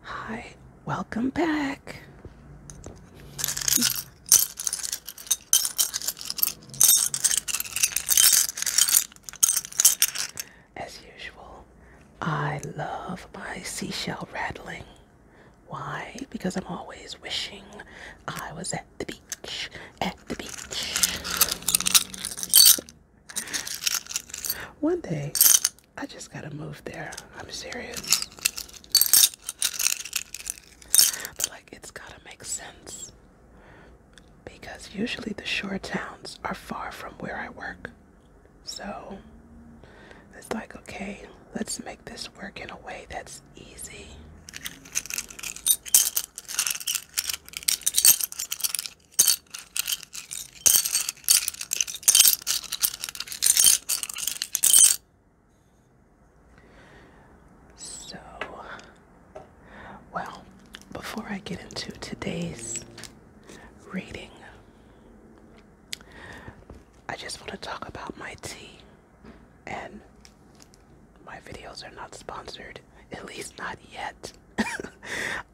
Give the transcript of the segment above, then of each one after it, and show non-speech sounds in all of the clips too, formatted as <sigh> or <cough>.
Hi, welcome back. As usual, I love my seashell rattling. Why? Because I'm always wishing I was at the beach, at the beach. One day, I just gotta move there. I'm serious. But, like, it's gotta make sense. Because usually the shore towns are far from where I work. So, it's like, okay, let's make this work in a way that's easy. So, well, before I get into today's reading, I just want to talk about my tea. And my videos are not sponsored, at least not yet. <laughs>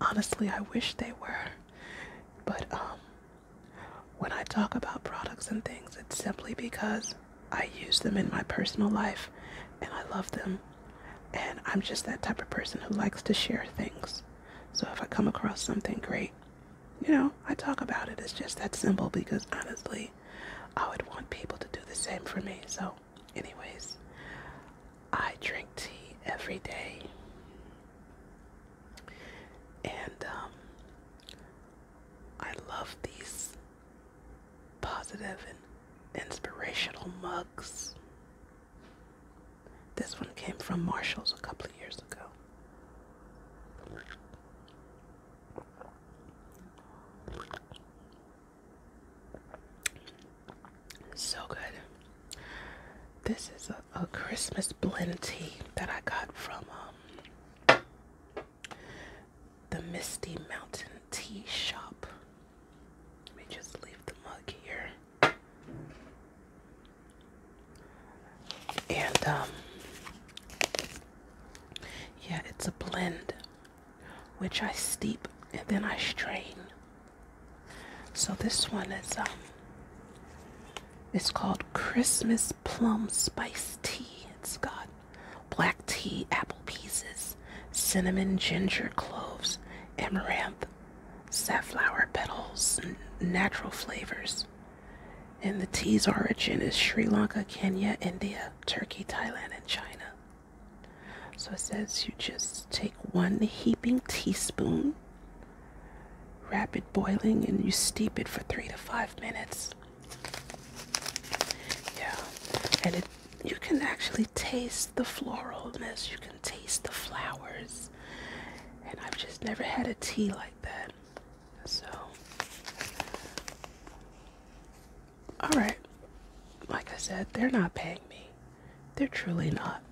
Honestly, I wish they were. But um, when I talk about products and things, it's simply because I use them in my personal life and I love them. And I'm just that type of person who likes to share things. So if I come across something great, you know, I talk about it. It's just that simple because honestly, I would want people to do the same for me. So, anyways, I drink tea every day, and um, I love these positive and inspirational mugs. This one came from Marshall's a couple of years ago. So good. This is a, Christmas blend tea that I got from um, the Misty Mountain Tea Shop. Let me just leave the mug here. And, um, yeah, it's a blend which I steep and then I strain. So this one is um it's called Christmas Plum Spice Tea. It's got black tea, apple pieces, cinnamon, ginger, cloves, amaranth, safflower petals, natural flavors. And the tea's origin is Sri Lanka, Kenya, India, Turkey, Thailand, and China. So it says you just take one heaping teaspoon, rapid boiling, and you steep it for three to five minutes. Yeah, and it you can actually taste the floralness. You can taste the flowers, and I've just never had a tea like that. So, all right, like I said, they're not paying me. They're truly not.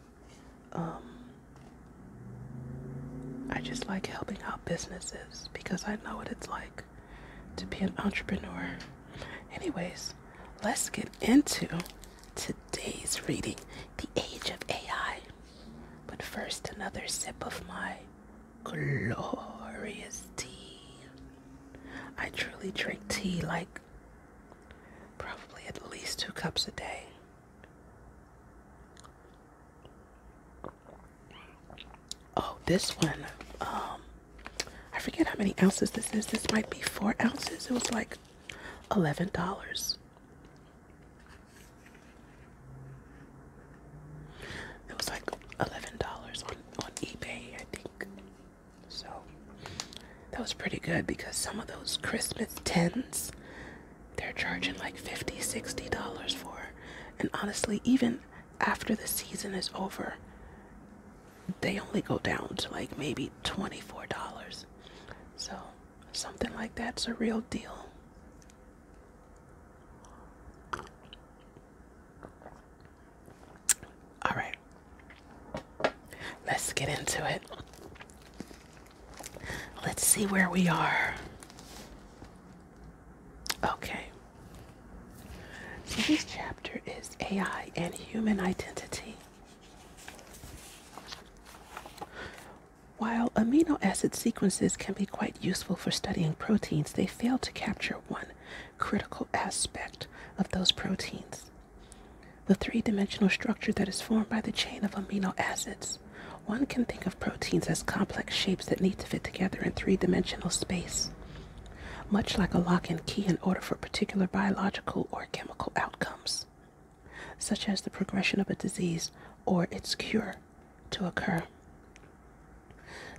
Um, I just like helping out businesses because I know what it's like to be an entrepreneur. Anyways, let's get into today's reading, The Age of AI. But first, another sip of my glorious tea. I truly drink tea like Probably at least two cups a day. Oh, this one. Um, I forget how many ounces this is. This might be four ounces. It was like eleven dollars. It was like eleven dollars on on eBay, I think. So that was pretty good because some of those Christmas tents, they're charging like 50 $60 for. And honestly, even after the season is over, they only go down to like maybe $24. So something like that's a real deal. All right. Let's get into it. Let's see where we are. Okay. So this chapter is AI and human identity. While amino acid sequences can be quite useful for studying proteins, they fail to capture one critical aspect of those proteins the three dimensional structure that is formed by the chain of amino acids. One can think of proteins as complex shapes that need to fit together in three dimensional space, much like a lock and key in order for particular biological or chemical outcomes, such as the progression of a disease or its cure, to occur.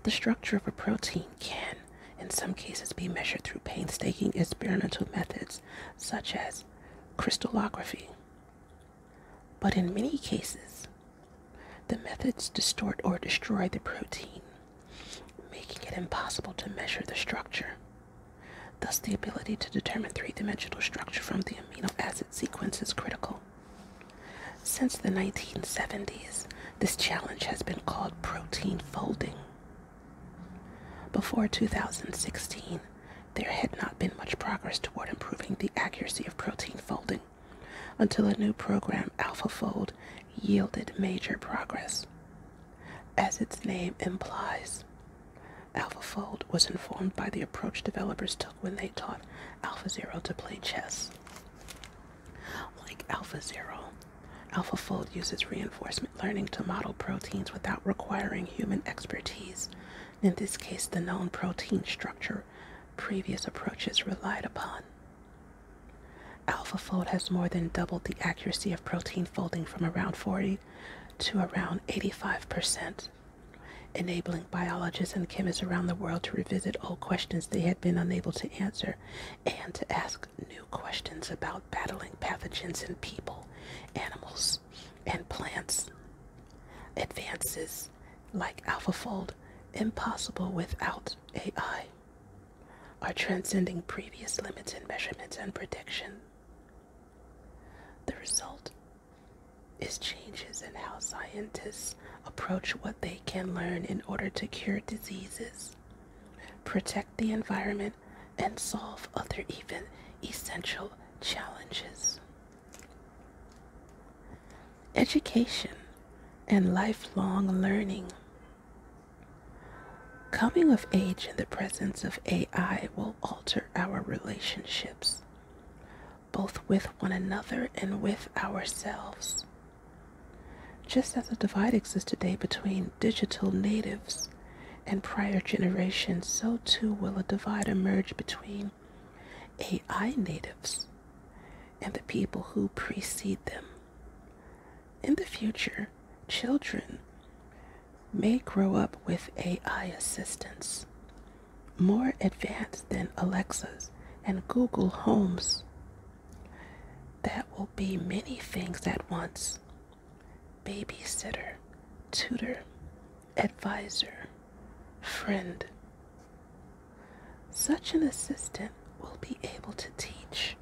The structure of a protein can in some cases be measured through painstaking experimental methods such as crystallography. But in many cases, the methods distort or destroy the protein, making it impossible to measure the structure. Thus, the ability to determine three dimensional structure from the amino acid sequence is critical. Since the 1970s, this challenge has been called protein folding. Before 2016, there had not been much progress toward improving the accuracy of protein folding until a new program, AlphaFold, yielded major progress. As its name implies, AlphaFold was informed by the approach developers took when they taught AlphaZero to play chess. Like Alpha AlphaFold uses reinforcement learning to model proteins without requiring human expertise. In this case, the known protein structure previous approaches relied upon. AlphaFold has more than doubled the accuracy of protein folding from around 40 to around 85%, enabling biologists and chemists around the world to revisit old questions they had been unable to answer and to ask new questions about battling pathogens in people, animals, and plants. Advances like AlphaFold, impossible without AI, are transcending previous limits in measurement and prediction. The result is changes in how scientists approach what they can learn in order to cure diseases protect the environment, and solve other even essential challenges. Education and lifelong learning. Coming of age in the presence of AI will alter our relationships, both with one another and with ourselves. Just as a divide exists today between digital natives and prior generations, so too will a divide emerge between AI natives and the people who precede them. In the future, children may grow up with AI assistants more advanced than Alexa's and Google Homes that will be many things at once babysitter, tutor, advisor, friend. Such an assistant will be able to teach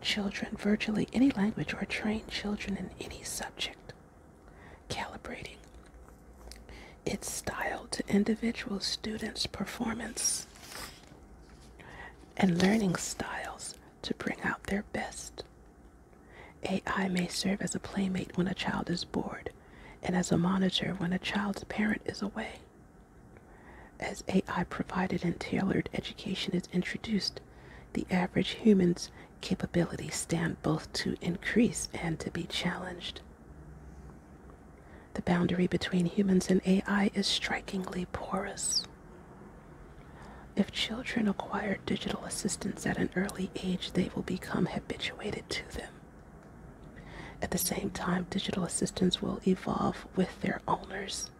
children virtually any language or train children in any subject, calibrating its style to individual students' performance and learning styles to bring out their best. AI may serve as a playmate when a child is bored and as a monitor when a child's parent is away. As AI provided and tailored education is introduced, the average human's capabilities stand both to increase and to be challenged. The boundary between humans and AI is strikingly porous. If children acquire digital assistants at an early age, they will become habituated to them. At the same time, digital assistants will evolve with their owners,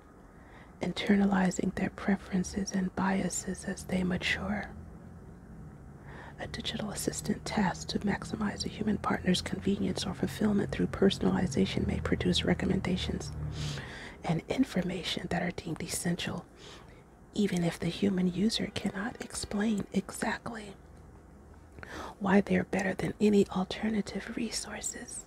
internalizing their preferences and biases as they mature. A digital assistant tasked to maximize a human partner's convenience or fulfillment through personalization may produce recommendations and information that are deemed essential, even if the human user cannot explain exactly why they are better than any alternative resources.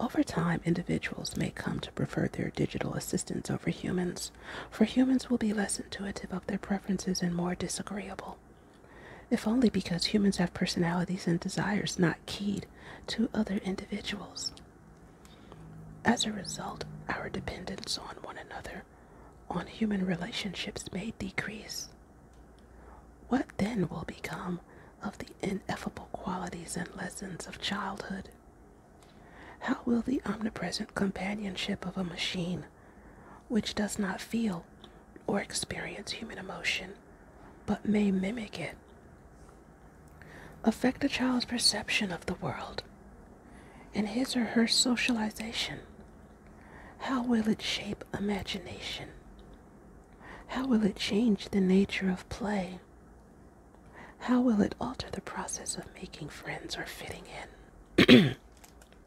Over time, individuals may come to prefer their digital assistants over humans, for humans will be less intuitive of their preferences and more disagreeable if only because humans have personalities and desires not keyed to other individuals. As a result, our dependence on one another, on human relationships, may decrease. What then will become of the ineffable qualities and lessons of childhood? How will the omnipresent companionship of a machine which does not feel or experience human emotion, but may mimic it, affect a child's perception of the world and his or her socialization? How will it shape imagination? How will it change the nature of play? How will it alter the process of making friends or fitting in? <clears throat>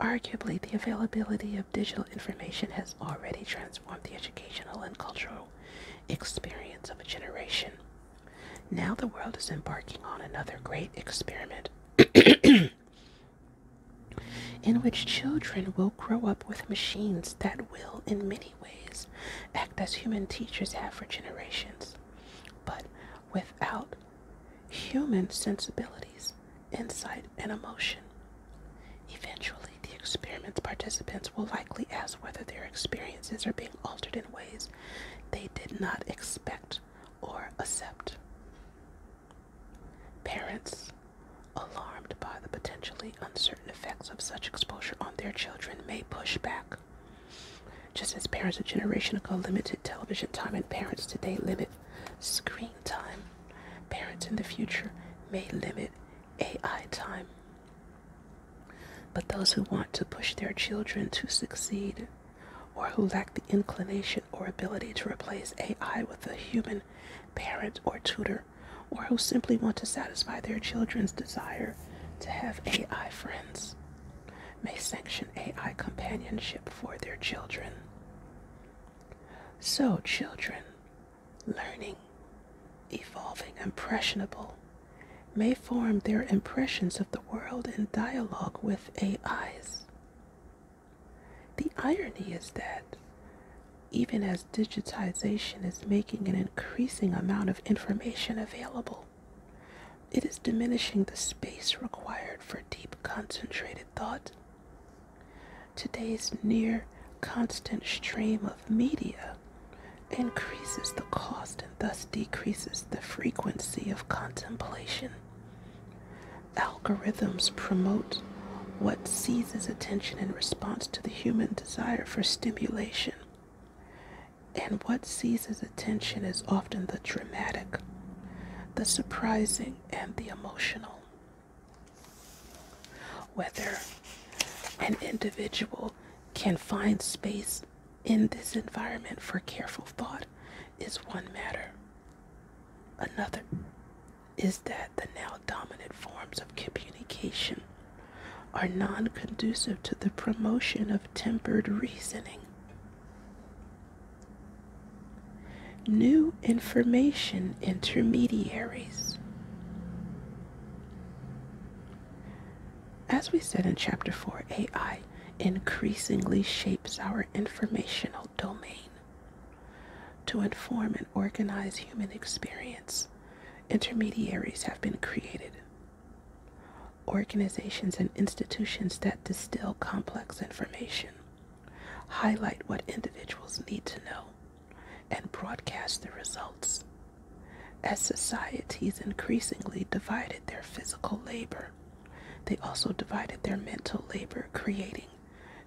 Arguably, the availability of digital information has already transformed the educational and cultural experience of a generation. Now the world is embarking on another great experiment <clears throat> in which children will grow up with machines that will, in many ways, act as human teachers have for generations, but without human sensibilities, insight, and emotion. Eventually, the experiment's participants will likely ask whether their experiences are being altered in ways they did not expect or accept. Parents, alarmed by the potentially uncertain effects of such exposure on their children, may push back. Just as parents a generation ago limited television time and parents today limit Screen time. Parents in the future may limit AI time. But those who want to push their children to succeed or who lack the inclination or ability to replace AI with a human parent or tutor, or who simply want to satisfy their children's desire to have AI friends, may sanction AI companionship for their children. So, children, learning, evolving, impressionable, may form their impressions of the world in dialogue with AIs. The irony is that, even as digitization is making an increasing amount of information available, it is diminishing the space required for deep, concentrated thought. Today's near constant stream of media increases the cost and thus decreases the frequency of contemplation. Algorithms promote what seizes attention in response to the human desire for stimulation. And what seizes attention is often the dramatic, the surprising, and the emotional. Whether an individual can find space in this environment for careful thought is one matter. Another is that the now dominant forms of communication are non conducive to the promotion of tempered reasoning New information intermediaries. As we said in Chapter 4, AI increasingly shapes our informational domain to inform and organize human experience. Intermediaries have been created organizations and institutions that distill complex information, highlight what individuals need to know, and broadcast the results. As societies increasingly divided their physical labor, they also divided their mental labor, creating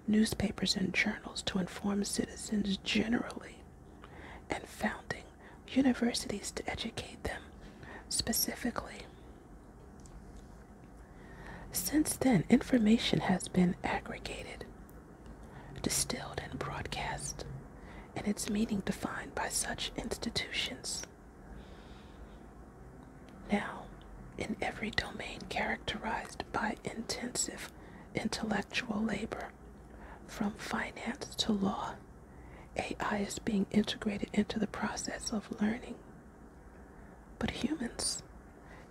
newspapers and journals to inform citizens generally, and founding universities to educate them specifically. Since then, information has been aggregated, distilled, and broadcast, and its meaning defined by such institutions. Now, in every domain characterized by intensive intellectual labor, from finance to law, AI is being integrated into the process of learning but humans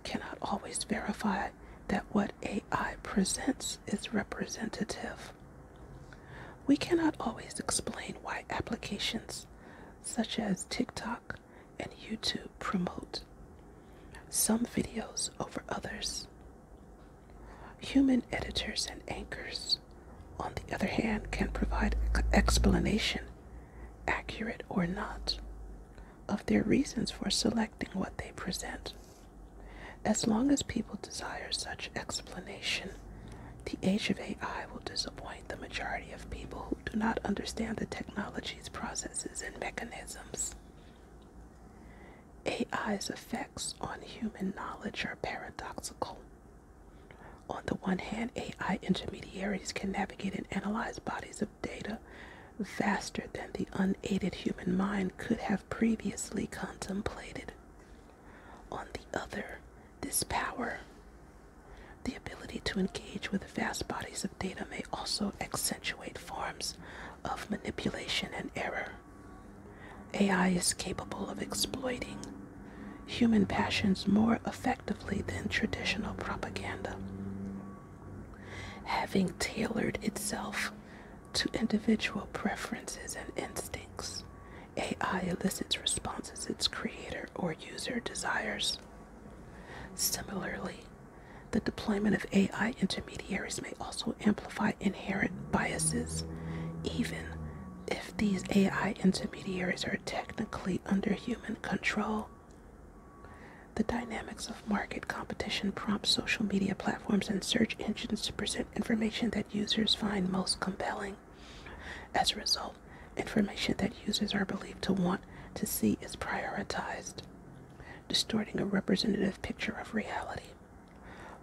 cannot always verify that what AI presents is representative. We cannot always explain why applications such as TikTok and YouTube promote some videos over others. Human editors and anchors on the other hand, can provide explanation, accurate or not, of their reasons for selecting what they present. As long as people desire such explanation, the age of AI will disappoint the majority of people who do not understand the technology's processes and mechanisms. AI's effects on human knowledge are paradoxical. On the one hand, AI intermediaries can navigate and analyze bodies of data faster than the unaided human mind could have previously contemplated. On the other, this power, the ability to engage with vast bodies of data, may also accentuate forms of manipulation and error. AI is capable of exploiting human passions more effectively than traditional propaganda, having tailored itself to individual preferences and instincts. AI elicits responses its creator or user desires. Similarly, the deployment of AI intermediaries may also amplify inherent biases, even if these AI intermediaries are technically under human control, the dynamics of market competition prompt social media platforms and search engines to present information that users find most compelling. As a result, information that users are believed to want to see is prioritized, distorting a representative picture of reality.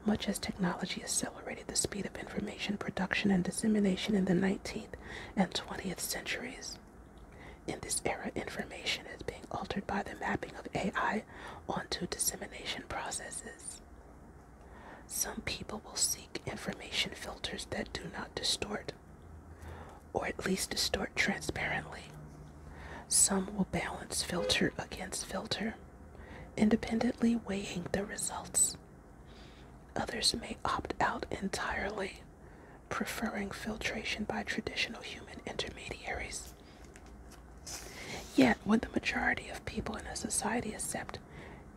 Much as technology accelerated the speed of information production and dissemination in the 19th and 20th centuries, in this era, information is being altered by the mapping of AI onto dissemination processes. Some people will seek information filters that do not distort, or at least distort transparently. Some will balance filter against filter, independently weighing the results. Others may opt out entirely, preferring filtration by traditional human intermediaries. Yet, when the majority of people in a society accept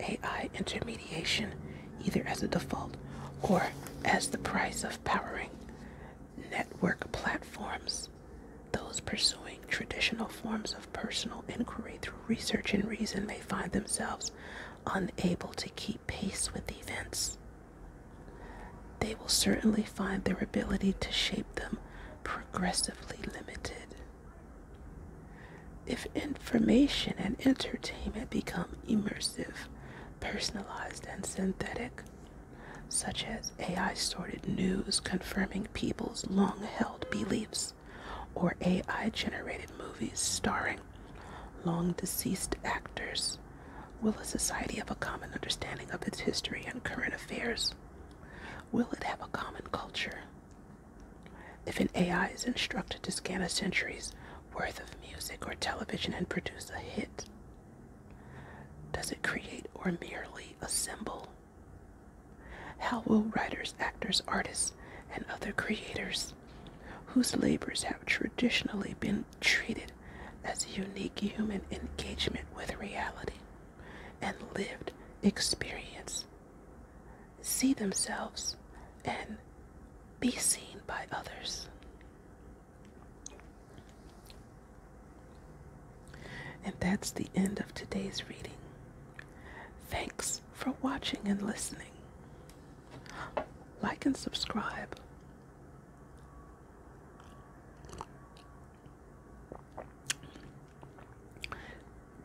AI intermediation either as a default or as the price of powering network platforms, those pursuing traditional forms of personal inquiry through research and reason may find themselves unable to keep pace with events. They will certainly find their ability to shape them progressively limited. If information and entertainment become immersive, personalized, and synthetic, such as AI sorted news confirming people's long held beliefs, or AI generated movies starring long deceased actors will a society have a common understanding of its history and current affairs? Will it have a common culture? If an AI is instructed to scan a century's worth of music or television and produce a hit, does it create or merely assemble? How will writers, actors, artists, and other creators whose labors have traditionally been treated as unique human engagement with reality and lived experience see themselves and be seen by others? And that's the end of today's reading. Thanks for watching and listening. Like and subscribe.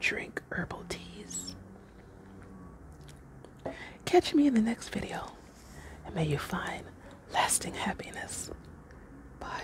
Drink herbal teas. Catch me in the next video and may you find lasting happiness. Bye.